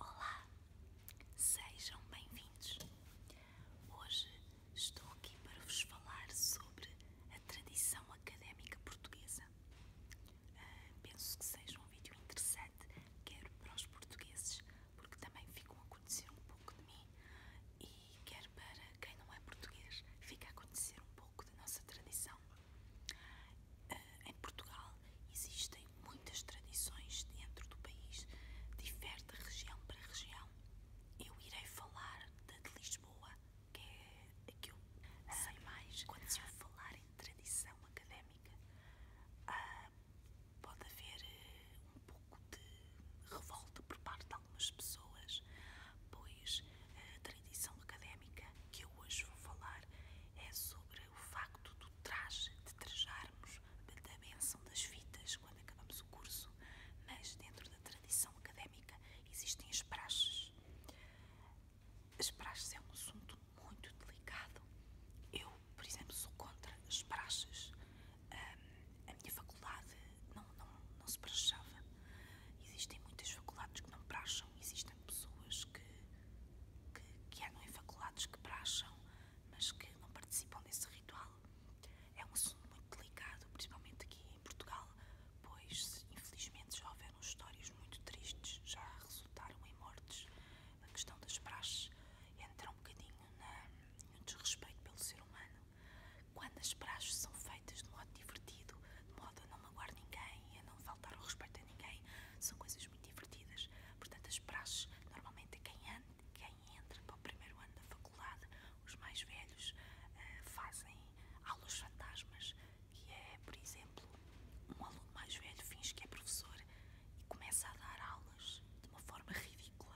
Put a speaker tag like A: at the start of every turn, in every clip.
A: Olá, sejam bem-vindos. Hoje estou aqui para vos falar sobre a tradição académica portuguesa. Ah, penso que seja um vídeo interessante, quero para os portugueses, porque também ficam a conhecer um pouco de mim, e quero para quem não é português, fica a conhecer um pouco da nossa tradição. Ah, em Portugal existem muitas tradições dentro do país, difere de região para região. Eu irei falar da de Lisboa, que é a que eu sei mais. Quando se eu falar em tradição académica, ah, pode haver eh, um pouco de revolta por parte de algumas pessoas, pois eh, a tradição académica que eu hoje vou falar é sobre sobre é o facto do traje, de trajarmos, da bênção das fitas quando acabamos o curso, mas dentro da tradição académica existem as praxes. As praxes é um assunto muito delicado. Eu, por exemplo, sou contra as praxes. a minha faculdade não, não, não se praxava. Existem muitas faculdades que não praxam, existem pessoas que que, que é, andam em que praxam, mas que não participam desse ritual. É um assunto muito delicado, principalmente aqui em Portugal, pois infelizmente já houveram histórias muito tristes, já resultaram em mortes. A questão das praxes entra um bocadinho na, no desrespeito pelo ser humano. Quando as praxes são feitas de modo divertido, de modo a não magoar ninguém, a não faltar o respeito a ninguém, são coisas muito divertidas. Portanto, as praxes, normalmente quem, quem entra para o primeiro ano da faculdade, os mais velhos eh, fazem aulas fantasmas, que é, por exemplo, um aluno mais velho finge que é professor e começa a dar aulas de uma forma ridícula,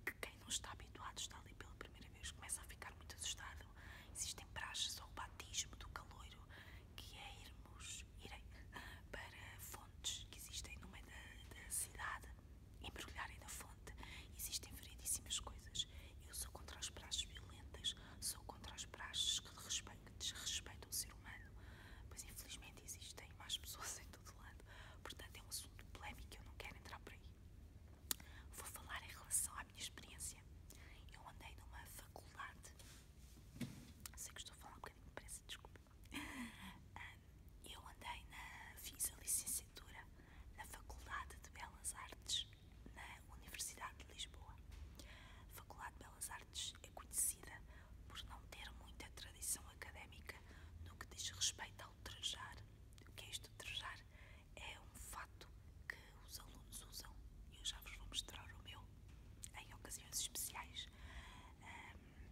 A: em que quem não está habituado está ali pela primeira vez, começa a ficar muito assustado. Existem praxes ao batismo do caloiro, que é irmos irem para fontes que existem no meio da, da cidade, embrulharem na fonte. Existem variedíssimas coisas. Eu sou contra as praxes violentas, sou contra as praxes que desrespeitam o ser humano, pois infelizmente existem mais pessoas em todo lado. Portanto, é um assunto polémico, eu não quero entrar por aí. Vou falar em relação à minha experiência. Eu andei numa faculdade Sei que estou a falar um bocadinho depressa, desculpa. Ah, eu andei na. fiz a licenciatura na Faculdade de Belas Artes na Universidade de Lisboa. A Faculdade de Belas Artes é conhecida por não ter muita tradição académica no que diz respeito ao trejar. O que é isto de trejar É um fato que os alunos usam. Eu já vos vou mostrar o meu em ocasiões especiais.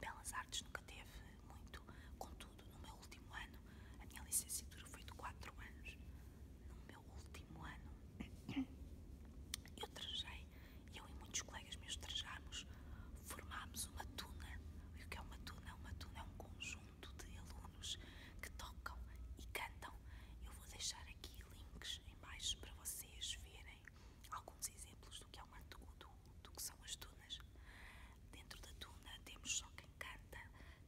A: belas artes nunca teve muito, contudo, no meu último ano, a minha licenciatura foi de 4 anos. No meu último ano, eu trajei, eu e muitos colegas meus trajámos, formámos uma tuna. o que é uma tuna? Uma tuna é um conjunto de alunos que tocam e cantam. Eu vou deixar aqui links em baixo para vocês verem alguns exemplos do que, é uma, do, do, que são as tunas. Dentro da tuna temos só quem canta,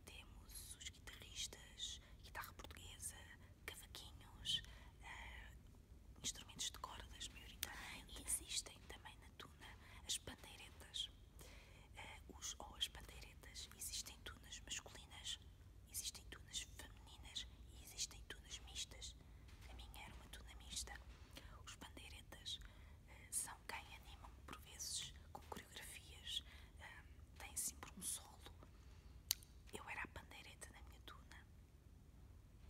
A: temos os guitarristas, guitarra portuguesa, cavaquinhos, eh, instrumentos de cordas maioritariamente. E existem também na tuna as bandeiretas. Eh, os, ou as bandeiretas, existem tunas masculinas Existem tunas femininas e existem tunas mistas. A minha era uma tuna mista. Os bandeiretas eh, são quem animam, por vezes, com coreografias. Uh, têm sempre um solo. Eu era a bandeireta da minha tuna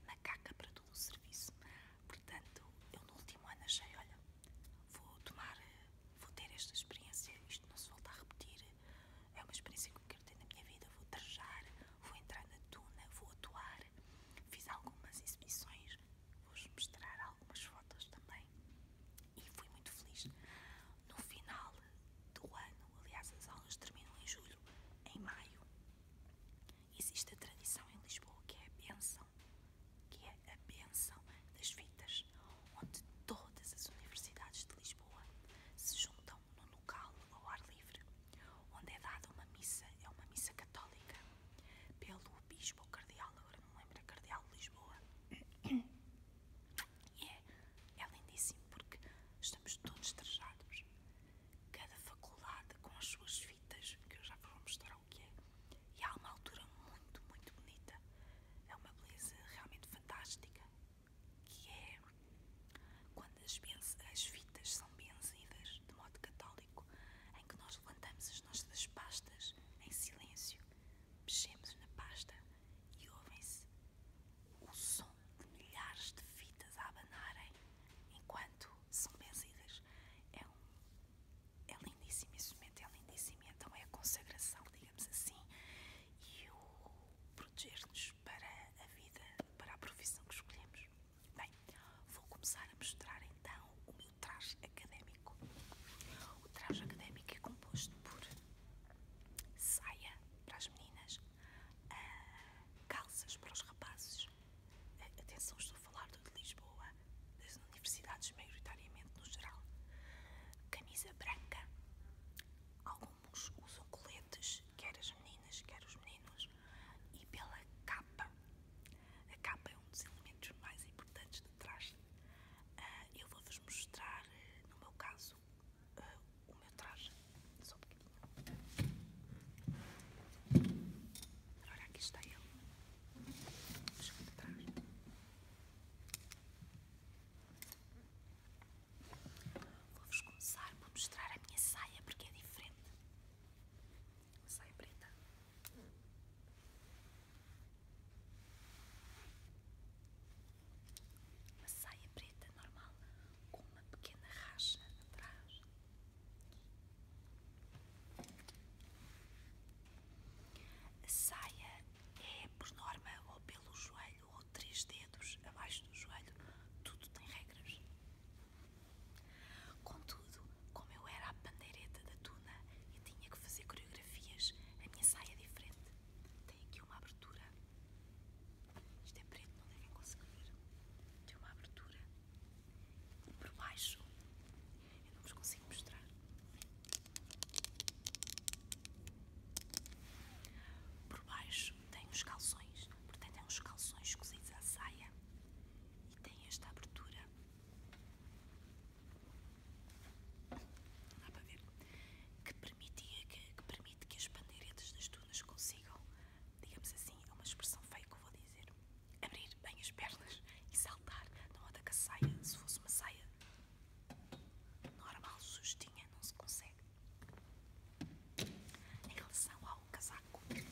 A: Na caca para todo o serviço. Portanto, eu no último ano achei, olha, vou tomar, eh, vou ter esta experiência, isto não se volta a repetir, é uma experiência que eu quero ter na minha vida. Vou trajar, vou entrar na tuna, vou atuar. Fiz algumas exibições, vou-vos mostrar algumas fotos também. E fui muito feliz. No final do ano, aliás, as aulas terminam em julho, em maio. Existe a tradição em Lisboa que é a benção, que é a benção das fitas, onde todas as universidades de Lisboa se juntam num local ao ar livre, onde é dada uma missa, é uma missa católica, pelo bispo ou cardeal, agora não lembro, é cardeal de Lisboa. E é, é lindíssimo porque estamos todos trajados, cada faculdade com as suas fitas, que eu já vou mostrar o que é, e há uma altura muito, muito bonita, é uma beleza realmente fantástica que é quando as, fitas são benzidas de modo católico, em que nós levantamos as nossas pastas em silêncio, mexemos na pasta e ouvem-se o som de milhares de fitas a abanarem enquanto são benzidas. É, um, é lindíssimo esse momento, é lindíssimo. Então é a consagração, digamos assim, e o proteger-nos para a vida, para a profissão que escolhemos. Bem, vou começar a mostrar então o meu traje académico. O traje académico é composto por saia para as meninas, ah, calças para os rapazes. Ah, atenção, estou a falar do de Lisboa, das universidades maioritariamente no geral. Camisa branca. Alguns usam coletes quer as meninas, quer os meninos, e pela capa. A capa é um dos elementos mais importantes do traje. Ah, eu vou-vos mostrar, no meu caso, ah, o meu traje. Só um bocadinho. Ora, aqui está ele. Deixa eu atrás. Vou-vos começar por mostrar a minha saia porque é diferente. saia preta. saia preta normal com uma pequena racha atrás. A saia é por norma ou pelo joelho ou três dedos abaixo do joelho, tudo tem regras. Contudo, como eu era a pandeireta da tuna e tinha que fazer coreografias, a minha saia é diferente. Tem aqui uma abertura. Isto é preto, não devem conseguir ver. Tem uma abertura. E por baixo, eu não vos consigo mostrar. Por baixo tem os calções, portanto é uns calções cozidos à saia e tem esta abertura. Dá para ver? Que, permitia, que, permite que as bandeiretas das dunas consigam, digamos assim, é uma expressão feia que vou dizer, abrir bem as pernas e saltar. Não anda com a saia, se fosse uma saia normal, justinha, não se consegue. Em relação ao casaco, tenho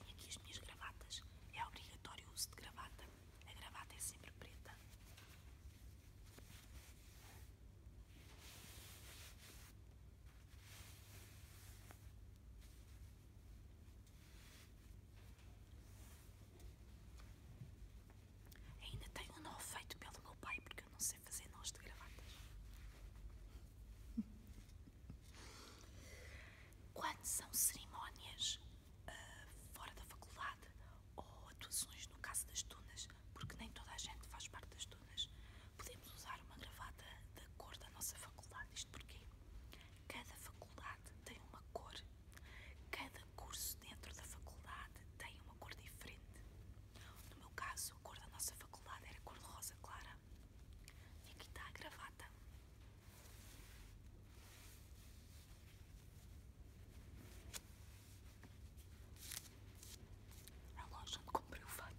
A: aqui as minhas gravatas. É obrigatório o uso de gravata. A gravata é sempre preta. Ainda tenho um nó feito pelo meu pai porque eu não sei fazer nós de gravatas. Quando são cerimónias uh, fora da faculdade ou atuações no caso das tunas, porque nem toda a gente faz parte das tunas, podemos usar uma gravata da cor da nossa faculdade. Isto porque cada faculdade tem uma cor, cada cada curso dentro da faculdade tem uma cor diferente. No meu caso, a cor da nossa faculdade era cor de rosa clara. E aqui está a gravata. A loja onde comprei o fato.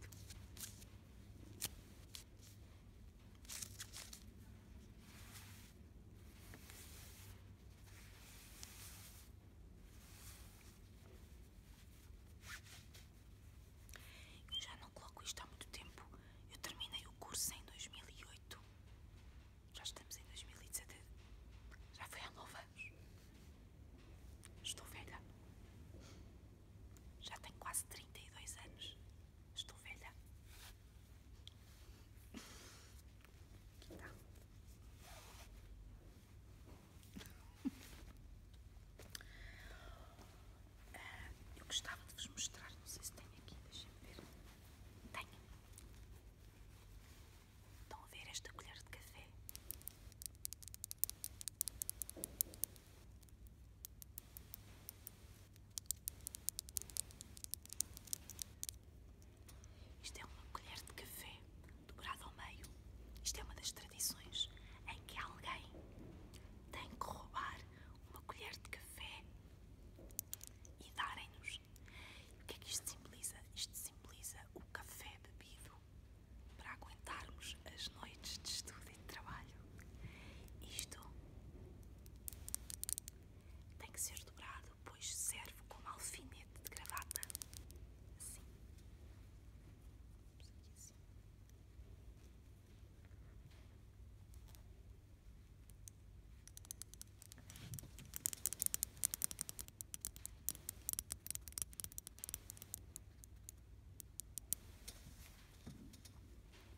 A: Eu já não coloco isto há muito tempo. Eu terminei o curso em 2008. Já estamos em 2017. Já foi há nove anos. Estou velha. Já tenho quase 32 anos. Estou velha. Aqui está eu gostava de vos mostrar, não sei se tem aqui, deixem-me ver. Tem. Estão a ver esta colher de café? Isto é uma colher de café dobrada ao meio. Isto é uma das tradições em que alguém tem que roubar uma colher de café e darem O que é que isto simboliza? Isto simboliza o café bebido para aguentarmos as noites de estudo e de trabalho. Isto tem que ser dobrado depois servo como alfinete de gravata. Assim. Aqui assim.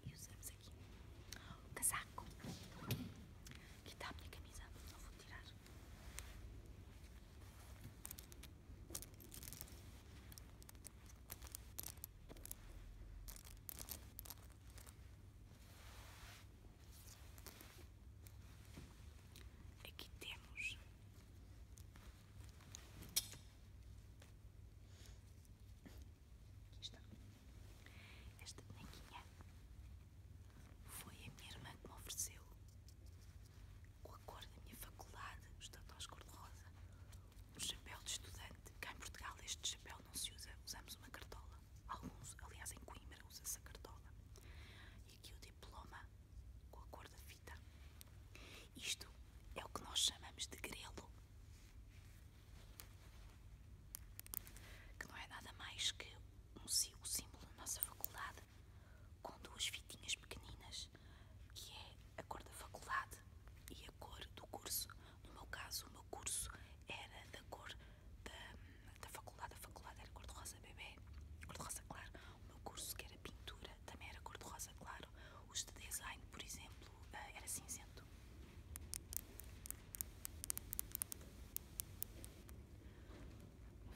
A: E usamos aqui o casaco. Aqui está a minha camisa, não vou tirar. Aqui temos aqui está esta bonequinha foi a minha irmã que me ofereceu. Com a cor da minha faculdade, os tatós cor-de-rosa. Um chapéu de estudante. Cá em Portugal este chapéu não se usa, usamos uma cartola. Alguns, aliás em Coimbra, usa-se a cartola. E aqui o diploma com a cor da fita. Isto é o que nós chamamos de grelo. Que não é nada mais que o símbolo da nossa faculdade com duas fitinhas pequeninas, que é a cor da faculdade e a cor do curso. No meu caso, o meu curso era da cor da, faculdade, a faculdade era cor-de-rosa bebê, cor-de-rosa claro. O meu curso, que era pintura, também era cor-de-rosa claro. Os de design, por exemplo, eh, era cinzento.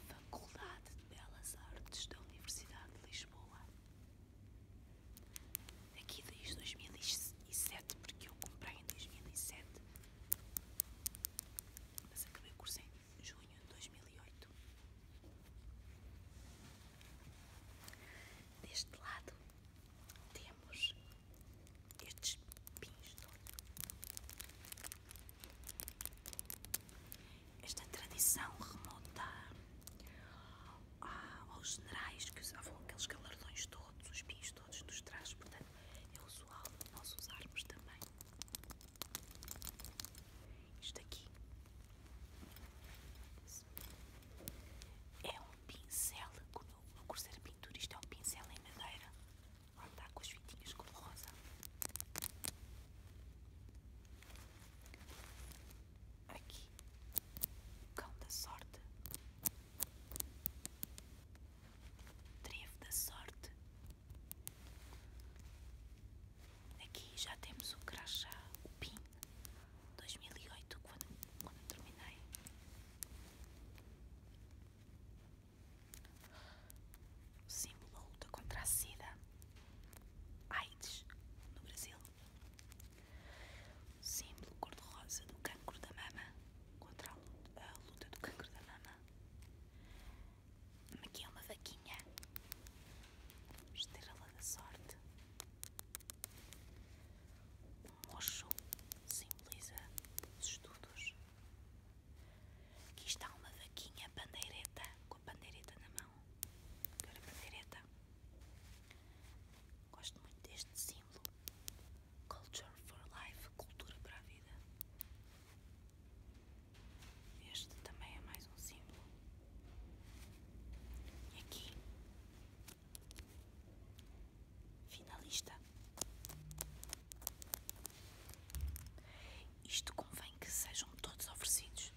A: Faculdade de Belas Artes da Universidade de Lisboa. Aqui desde 2007, porque eu comprei em 2007, mas acabei o curso em junho de 2008. Deste lado temos estes pins todos. Esta tradição remonta ah, aos generais que usavam aqueles galardões todos, os pins todos dos trajes, portanto é usual nós usarmos também. Isto aqui é um pincel, como no curso de pintura isto é um pincel em madeira Olha está com os fitinhos cor rosa Aqui, o cão da sorte, trevo da sorte. Aqui já temos o crachá, o PIN 2008, quando, quando terminei o símbolo da luta contra a SIDA, AIDS, no Brasil, o símbolo cor-de-rosa do cancro da mama, contra a luta, do cancro da mama. Aqui é uma vaquinha, estrela da sorte. O mocho simboliza os estudos. Aqui está uma vaquinha bandeireta com a bandeireta na mão. Agora a pandeireta. Gosto muito deste símbolo. Culture for Life, cultura para a vida. Este também é mais um símbolo. E aqui, finalista. Isto convém que sejam todos oferecidos.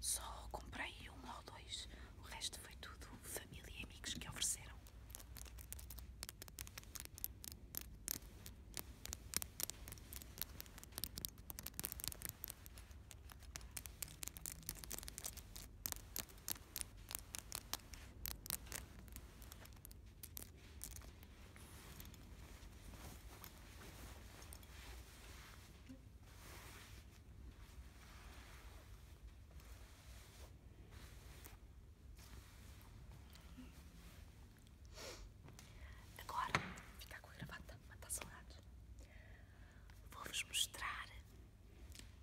A: Só comprei um ou dois. O resto foi tudo família e amigos que ofereceram. Agora, ficar com a gravata, matar tá saudades. Vou-vos mostrar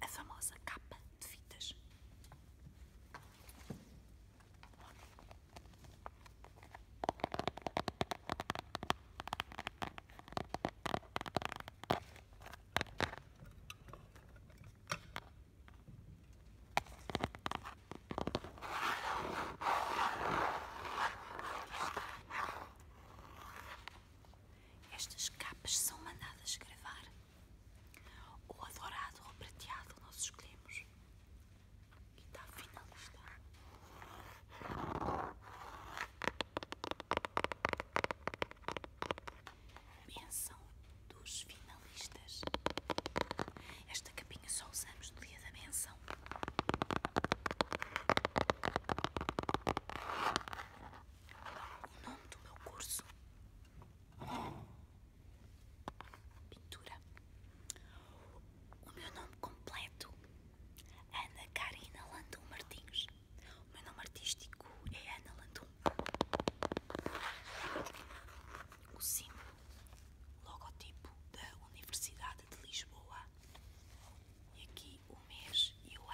A: a famosa capa de fitas. Estas capas são mandadas gravar. ou adorado ou prateado nós escolhemos que tá finalizado. Benção dos finalistas. Esta capinha só usamos no dia da benção. O nome do meu curso pintura. O meu nome completo é Ana Karina Landum Martins. O meu nome artístico é Ana Landum. O símbolo, logotipo da Universidade de Lisboa. E aqui o mês e o ano.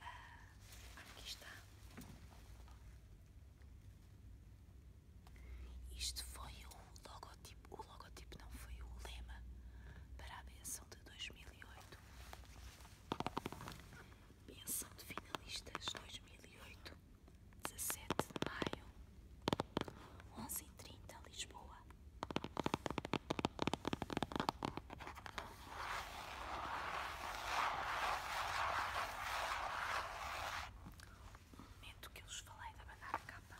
A: Ah, aqui está. Isto foi o logotipo. O logotipo não foi o lema para a benção de dois mil e oito Benção de finalistas dois mil e oito dezessete de maio, 11h30, Lisboa. um momento que eu vos falei da banana capa.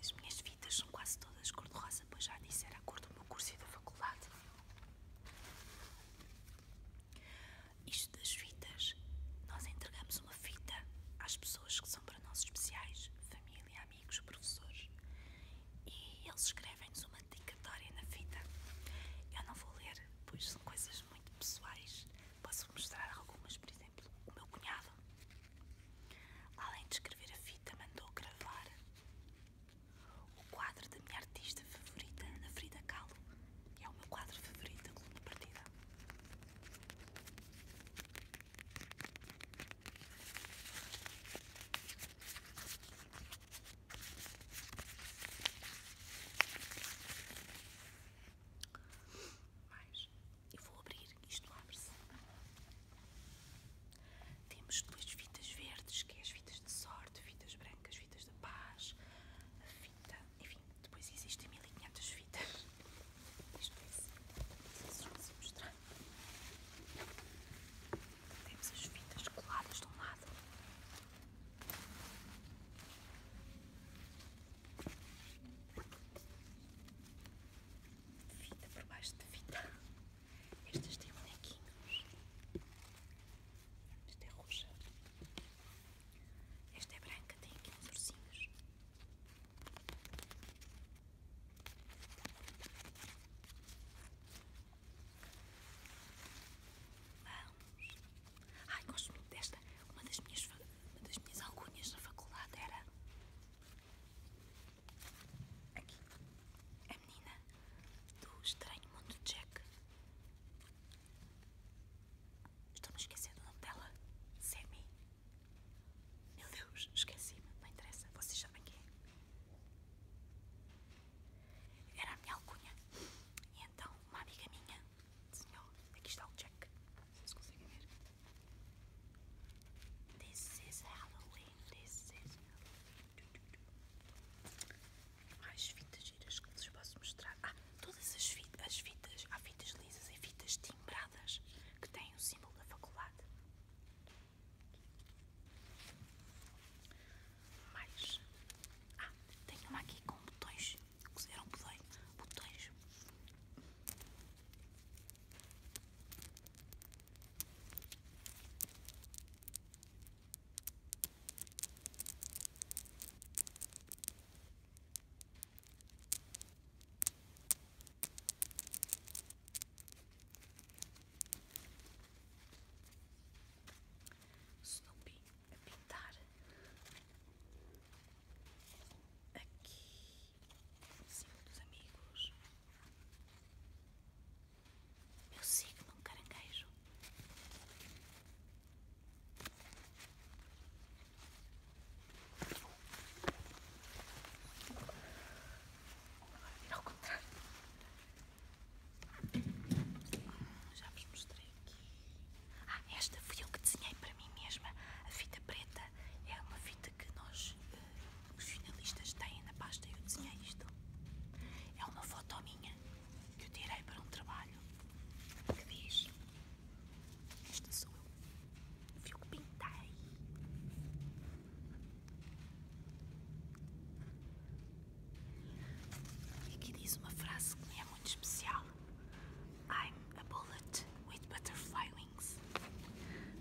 A: As minhas fitas são quase todas cor-de-rosa, pois já disse, era a cor do meu curso e da faculdade. Isto das fitas, nós entregamos uma fita às pessoas que são para nós especiais, família, amigos, professores, e eles escrevem-nos uma dedicatória na fita. Eu não vou ler, pois são coisas muito pessoais. Posso mostrar algumas, por exemplo o meu cunhado, além de escrever a fita, mandou gravar o quadro da minha artista favorita, Ana Frida Kahlo, que é o meu quadro favorito da coluna partida. Mais. Eu vou abrir, isto abre-se. Temos duas fitas verdes, que é as fitas de sorte, fitas brancas, fitas da paz, a fita, enfim, depois existem 1500 fitas. Isto é assim, não sei se mostrar. Temos as fitas coladas de um lado. Fita por baixo de fita. Estas têm é bonequinhos. Esta é roxa. Esta é branca, tem aqui uns ursinhos. Vamos. Ai, gosto muito desta. Uma das minhas uma das minhas alcunhas na faculdade era aqui a menina do estranho mundo Jack. Estou-me esquecendo o nome dela. Sammy. Meu Deus, esqueci-me. Não interessa. Vocês sabem quem é. Era a minha alcunha. E então uma amiga minha senhor Aqui está o Jack. Vocês conseguem ver? This is Halloween, this is Halloween. Mais fitas giras que vos posso mostrar. Ah, todas as fitas, as fitas, há fitas lisas e fitas timbradas que têm o símbolo da faculdade. Mais. Ah, tenho uma aqui com botões cozeram botões. botões. Snoopy a é pintar aqui cinco dos amigos, meu signo, um caranguejo. Agora, ao contrário, já vos mostrei ah, esta fui eu que desenhei para mim mesma. A fita preta é uma fita que nós, eh, os finalistas, têm na pasta. Eu desenhei isto. É uma foto minha que eu tirei para um trabalho que diz: Esta sou eu. Fui eu que pintei. E aqui diz uma frase que me é muito especial. I'm a bullet with butterfly wings.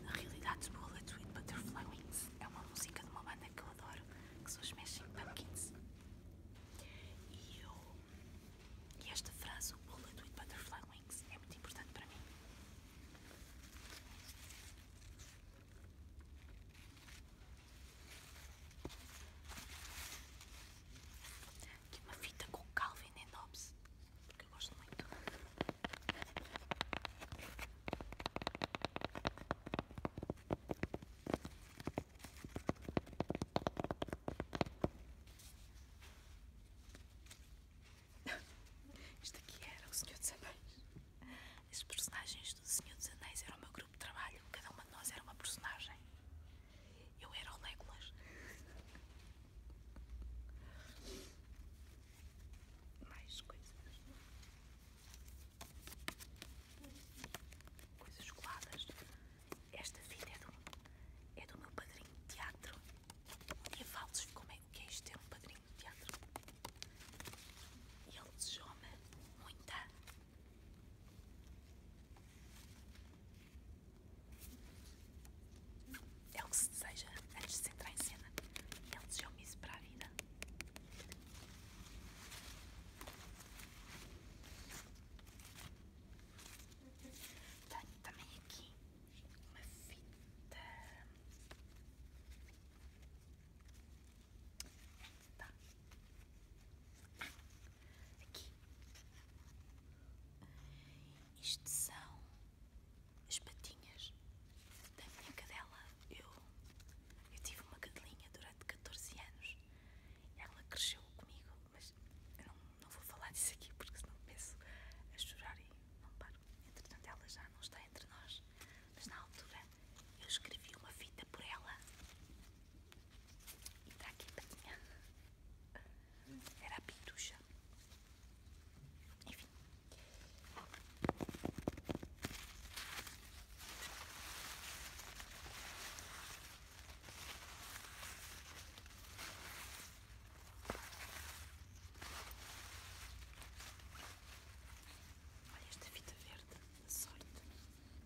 A: a realidade, Bullet with Butterfly Wings é uma música de uma banda que eu adoro, que se os Smashing Pumpkins. E eu. E esta frase, Bullet with Butterfly Wings, é muito importante para mim aqui uma fita com Calvin and Hobbes, porque eu gosto muito. Isto aqui era o Senhor dos Anéis. As personagens do Senhor dos Anéis eram o meu grupo de trabalho, cada uma de nós era uma personagem. Eu era o Legolas. Mais coisas. Coisas coladas. Esta fita é do, é do meu padrinho de teatro. E a Valdes ficou meio. É, o que é isto? Ter é um padrinho de teatro. E ele desejou-me muita é o que se deseja antes de se entrar em cena. Ele é desejou isso para a vida. Tenho também aqui uma fita. Tá. Aqui. Isto são as patinhas da minha cadela. Eu, eu tive uma cadelinha durante 14 anos. Ela cresceu comigo, mas eu não, não vou falar disso aqui porque senão penso a chorar e não paro. Entretanto, ela já não está entre nós, mas na altura eu escrevi uma fita por ela e tá aqui bem. Tá Era pitucha. Enfim. Olha esta fita verde, sorte.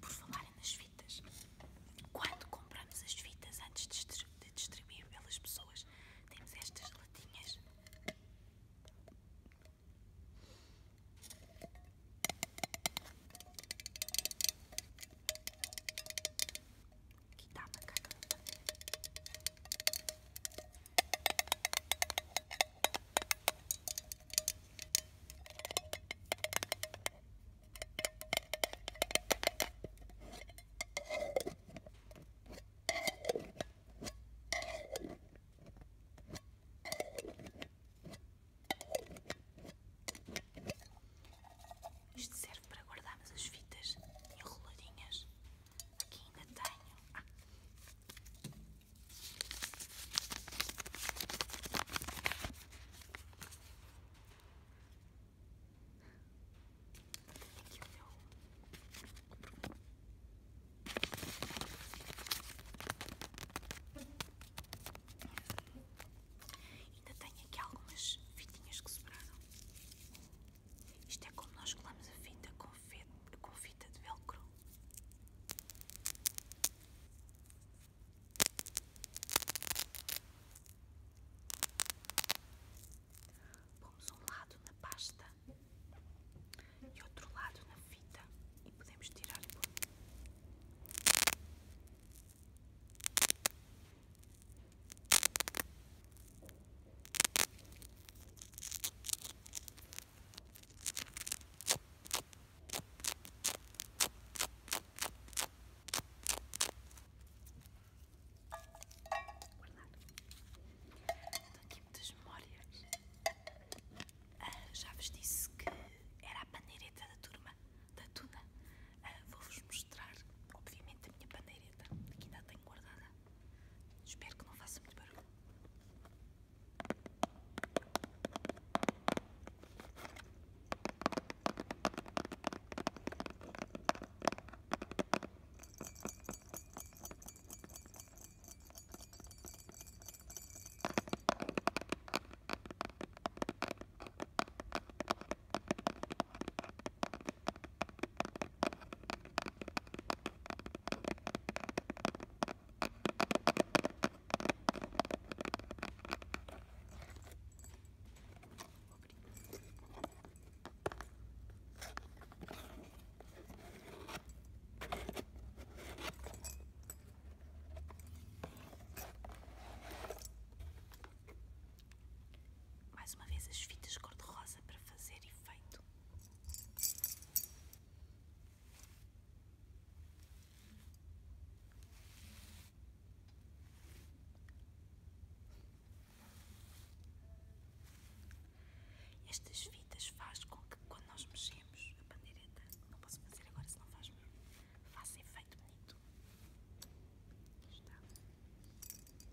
A: Por falarem nas fitas, quando compramos as fitas antes de distribuir pelas pessoas, temos estas latinhas. Aqui está a macaca. Isto serve para guardarmos as fitas enroladinhas Aqui ainda tenho. aqui o meu. Ainda tenho aqui algumas fitinhas que sobraram. Isto é como nós colamos a fita com, fita de velcro. Pomos um lado na pasta e outro lado na fita e podemos tirar o aqui muitas memórias. Ah, já vos disse que era a pandeireta da turma, da Tuna. Ah, vou-vos mostrar, obviamente, a minha pandeireta, que ainda tenho guardada. Espero que não faça muito barulho. Mais uma vez as fitas cor-de-rosa para fazer efeito. Estas fitas faz com que quando nós mexemos a pandeireta, não posso fazer agora se não faz mesmo, faça efeito bonito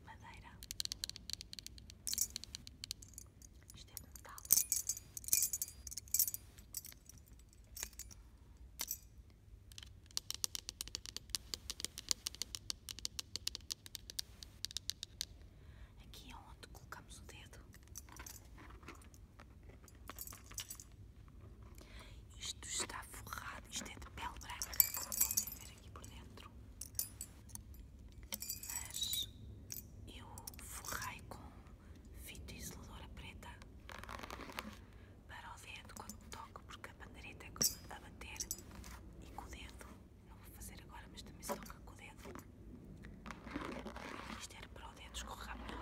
A: madeira. Isto é metal. Aqui é onde colocamos o dedo. Isto está forrado, isto é de pele branca, aqui por dentro, mas eu forrei com fita isoladora preta para o dedo quando toco, porque a pandereta é a bater e com o dedo, não vou fazer agora, mas também se toca com o dedo. Isto era para o dedo escorrer melhor.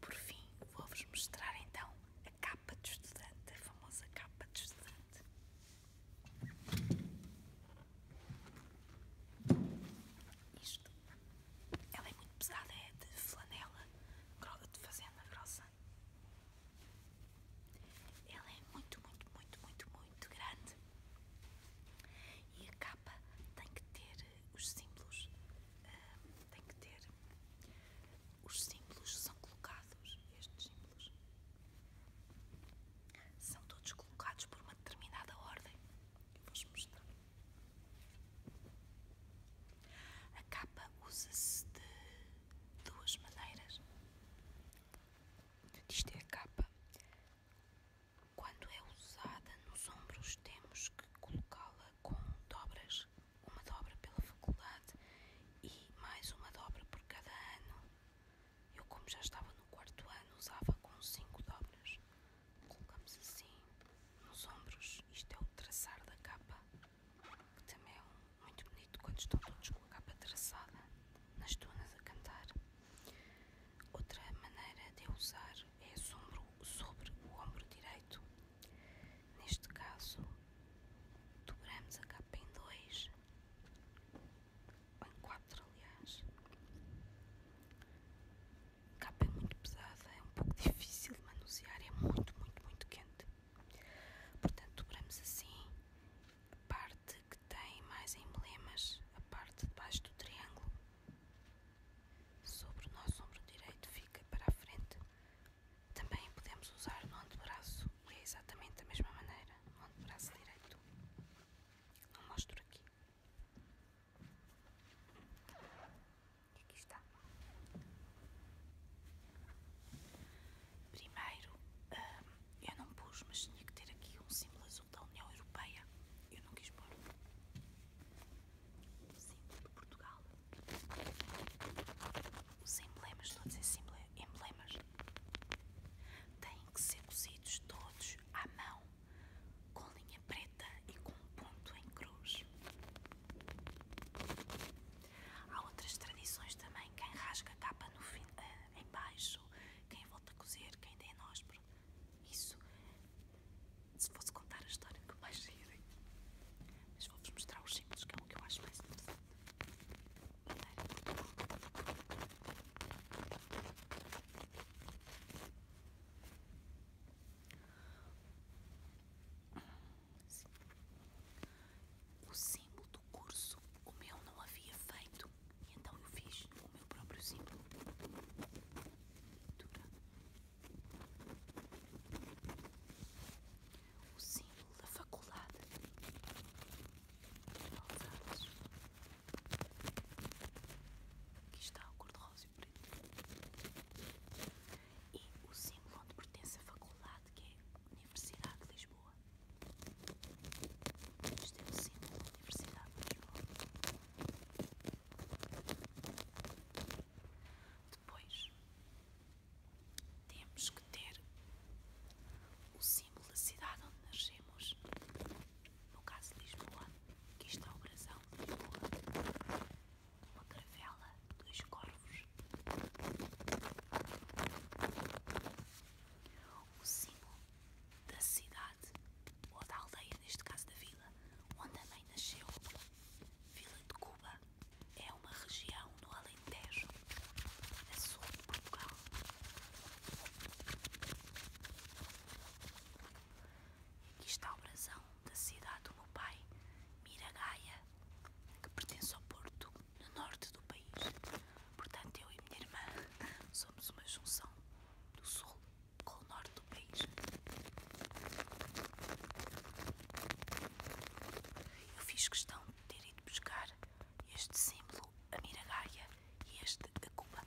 A: Por fim, vou-vos mostrar então a capa de estudante, a famosa capa de estudante. Isto, ela é muito pesada, é de flanela, de fazenda grossa. Ela é muito, muito, muito, muito, muito grande. E a capa tem que ter os símbolos, ah, têm que ter, os símbolos são colocados, estes símbolos, são todos colocados por uma determinada ordem, eu vou-vos mostrar. A capa usa-se de duas maneiras. Isto é a capa. Quando é usada nos ombros, temos que colocá-la com dobras, uma dobra pela faculdade e mais uma dobra por cada ano. Eu, como já estava no quarto ano, usava com cinco dobras. Colocamos assim nos ombros. Isto é o traçar da capa, que também é muito bonito quando estão todos com a capa traçada nas dunas a cantar. Outra maneira de usar é o sobre, sobre o ombro direito. Neste caso, dobramos a capa em dois, ou em quatro, aliás. A capa é muito pesada, é um pouco difícil de manusear, é muito, muito, muito quente. Portanto, dobramos assim a parte que tem mais emblemas, a parte de baixo do triângulo, sobre o nosso ombro direito, fica para a frente também podemos usar no antebraço e é exatamente da mesma maneira, no antebraço direito. eu mostro aqui. E aqui é está. Primeiro, hum, eu não pus, mas tinha que ter aqui um símbolo azul da União Europeia. Eu não quis pôr o símbolo de Portugal. Os emblemas, todos a emblemas, têm que ser cozidos todos à mão, com linha preta e com um ponto em cruz. Há outras tradições também, quem rasga a capa no fim, eh, em quem volta a cozer, quem dê nóspero, isso se fosse contar a história que eu mais rirem, mas vou-vos mostrar os símbolos que é o que eu acho mais interessante. O símbolo do curso, o meu não havia feito, então eu fiz o meu próprio símbolo. Dura. O símbolo da faculdade Alzados. Aqui está o cor-de-rosa e preto. E o símbolo onde pertence a faculdade, que é a Universidade de Lisboa. Este é o símbolo da Universidade de Lisboa. Depois, temos que ter o símbolo da cidade onde nascemos, no caso Lisboa, que está é o brasão Lisboa, uma caravela, dois corvos. O símbolo da cidade, ou da aldeia, neste caso da vila, onde a mãe nasceu, Vila de Cuba é uma região no Alentejo, a sul de Portugal. Aqui está o brasão da cidade do meu pai, Miragaia, que pertence ao Porto, no norte do país. Portanto, eu e minha irmã somos uma junção do sul com o norte do país. Eu fiz questão de ter ido buscar este símbolo, a Miragaia, e este, a Cuba.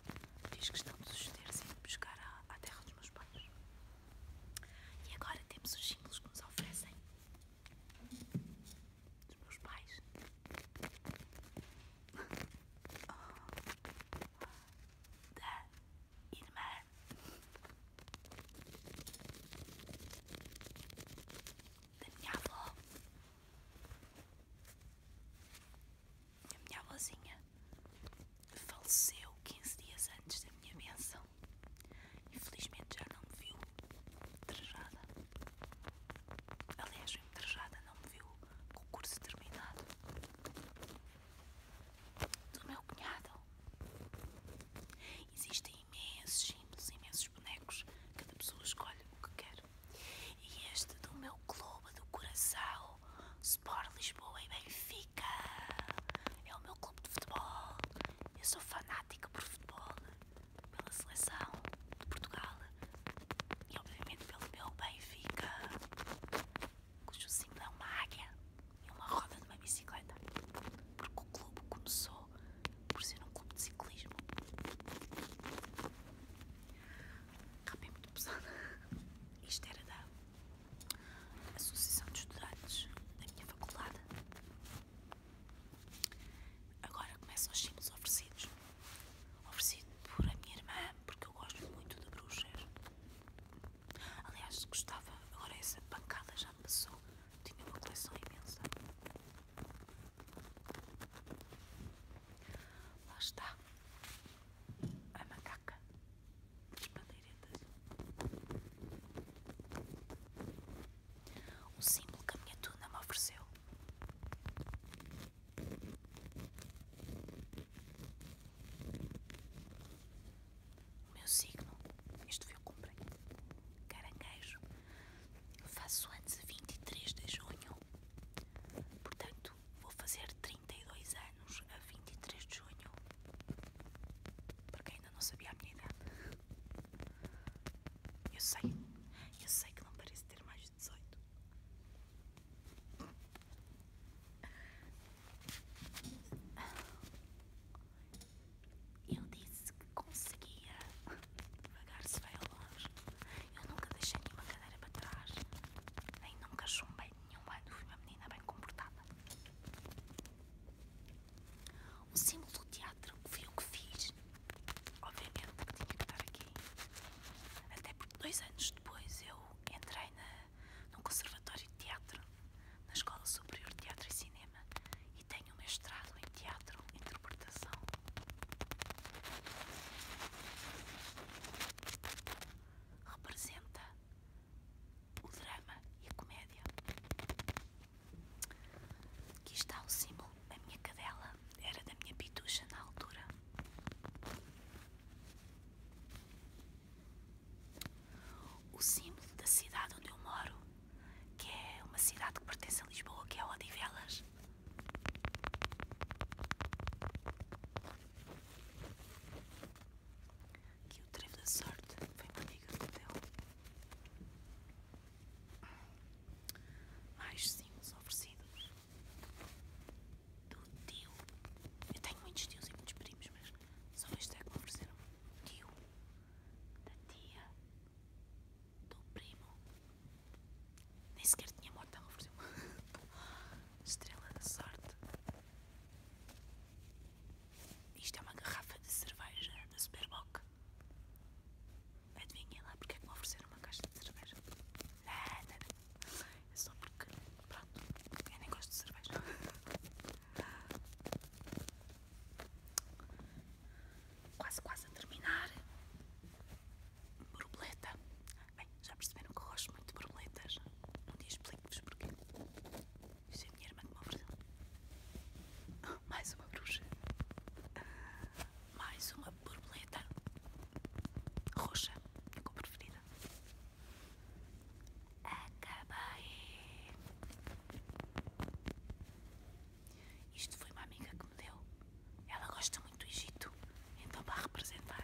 A: Fiz questão de os ter ido buscar à, à terra dos meus pais. E agora temos os símbolos que nos oferecem dos meus pais. Oh, da irmã da minha avó, a minha avózinha faleceu 15 dias antes da minha benção. Infelizmente já não me viu trajada. Aliás, me trajada não me viu com o curso terminado do meu cunhado. Existem imensos símbolos, imensos bonecos. Cada pessoa escolhe o que quer. E este do meu clube do coração, Sport Lisboa e Benfica. É o meu clube de futebol. Eu sou fanática por futebol, pela seleção de Portugal e, obviamente, pelo meu Benfica cujo símbolo é uma águia e uma roda de uma bicicleta, porque o clube começou por ser um clube de ciclismo. Capa é muito pesado Isto era da Associação de Estudantes da minha faculdade. Agora começa os símbolos oferecidos. Oferecido por a minha irmã, porque eu gosto muito de bruxas. Aliás, gostava, agora essa pancada já passou, tinha uma coleção imensa. Lá está a macaca das bandeiretas. Um símbolo que a minha tuna me ofereceu. O meu signo, isto foi eu comprei. Caranguejo. Faço antes de 23 de junho. Portanto, vou fazer 32 anos a 23 de junho. Porque ainda não sabia a minha idade. Eu sei. Eu sei que não parece ter mais de 18. Eu disse que conseguia. Devagar se vai ao longe. Eu nunca deixei nenhuma cadeira para trás. Nem nunca chumbei nenhum ano. Fui uma menina bem comportada. O símbolo do teatro foi o que fiz. Obviamente que tinha que estar aqui. Até porque dois anos depois eu entrei na no Conservatório de Teatro, na Escola Superior de Teatro e Cinema e tenho um mestrado em Teatro e Interpretação. Representa o drama e a comédia. Aqui está o símbolo da minha cadela, era da minha pitucha na altura o símbolo da cidade onde eu moro, que é uma cidade que pertence a Lisboa, que é Odivelas. Aqui o trevo da sorte foi uma amiga que hotel. Mais símbolos oferecidos do tio. Eu tenho muitos tios e muitos primos, mas só este é que me ofereceram tio, da tia, do primo. Nem sequer tinha morte, ela ofereceu uma estrela da sorte. Isto é uma garrafa de cerveja da Superboc. Adivinhem lá porque é que me ofereceram uma caixa de cerveja. Nada, nada. É só porque, pronto, eu nem gosto de cerveja. Quase, quase a terminar. Borboleta. Bem, já perceberam que eu gosto muito de borboletas. Um dia explico-vos porquê. Isso é a minha irmã de me ofereceu. Mais uma bruxa. Mais uma borboleta roxa, minha cor preferida acabei Isto foi uma amiga que me deu. Ela gosta muito do Egito. Então, para representar,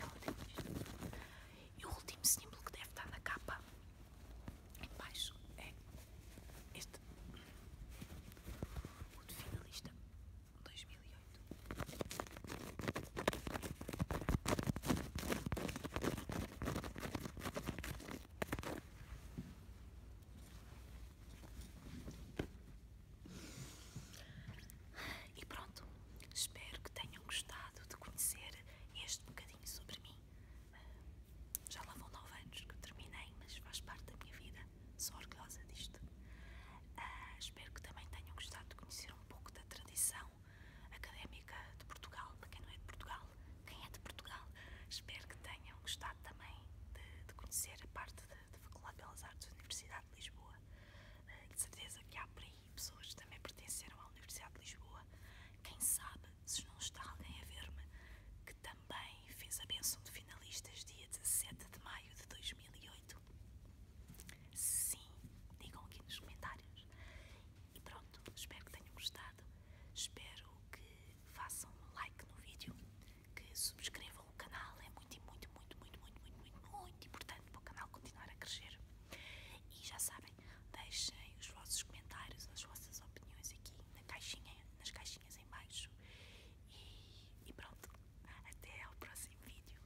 A: ela deu isto. E o último símbolo que deve estar na capa, em baixo, é este. O de finalista 2008. E pronto, espero que tenham gostado de conhecer este bocadinho sobre mim. Ah, já lá vão nove anos que terminei, mas faz parte da minha vida. Sou orgulhosa disto. Ah, espero que também tenham gostado de conhecer um pouco da tradição académica de Portugal. Para quem não é de Portugal, quem é de Portugal, espero que tenham gostado também de, conhecer a parte da Faculdade de Belas Artes da Universidade de Lisboa. Eh, de certeza que há por aí pessoas que também pertenceram à Universidade de Lisboa. Quem sabe se não está alguém a ver-me que também fez a benção de finalistas dia 17 de maio de 2008. Sim, digam aqui nos comentários. E pronto, espero que tenham gostado. Espero que façam um like no vídeo, que subscrevam o canal, é muito, muito, muito, muito, muito, muito, muito, importante para o canal continuar a crescer. E já sabem, deixem os vossos comentários, as vossas opiniões aqui na caixinha, nas caixinhas em baixo. e pronto, até ao próximo vídeo.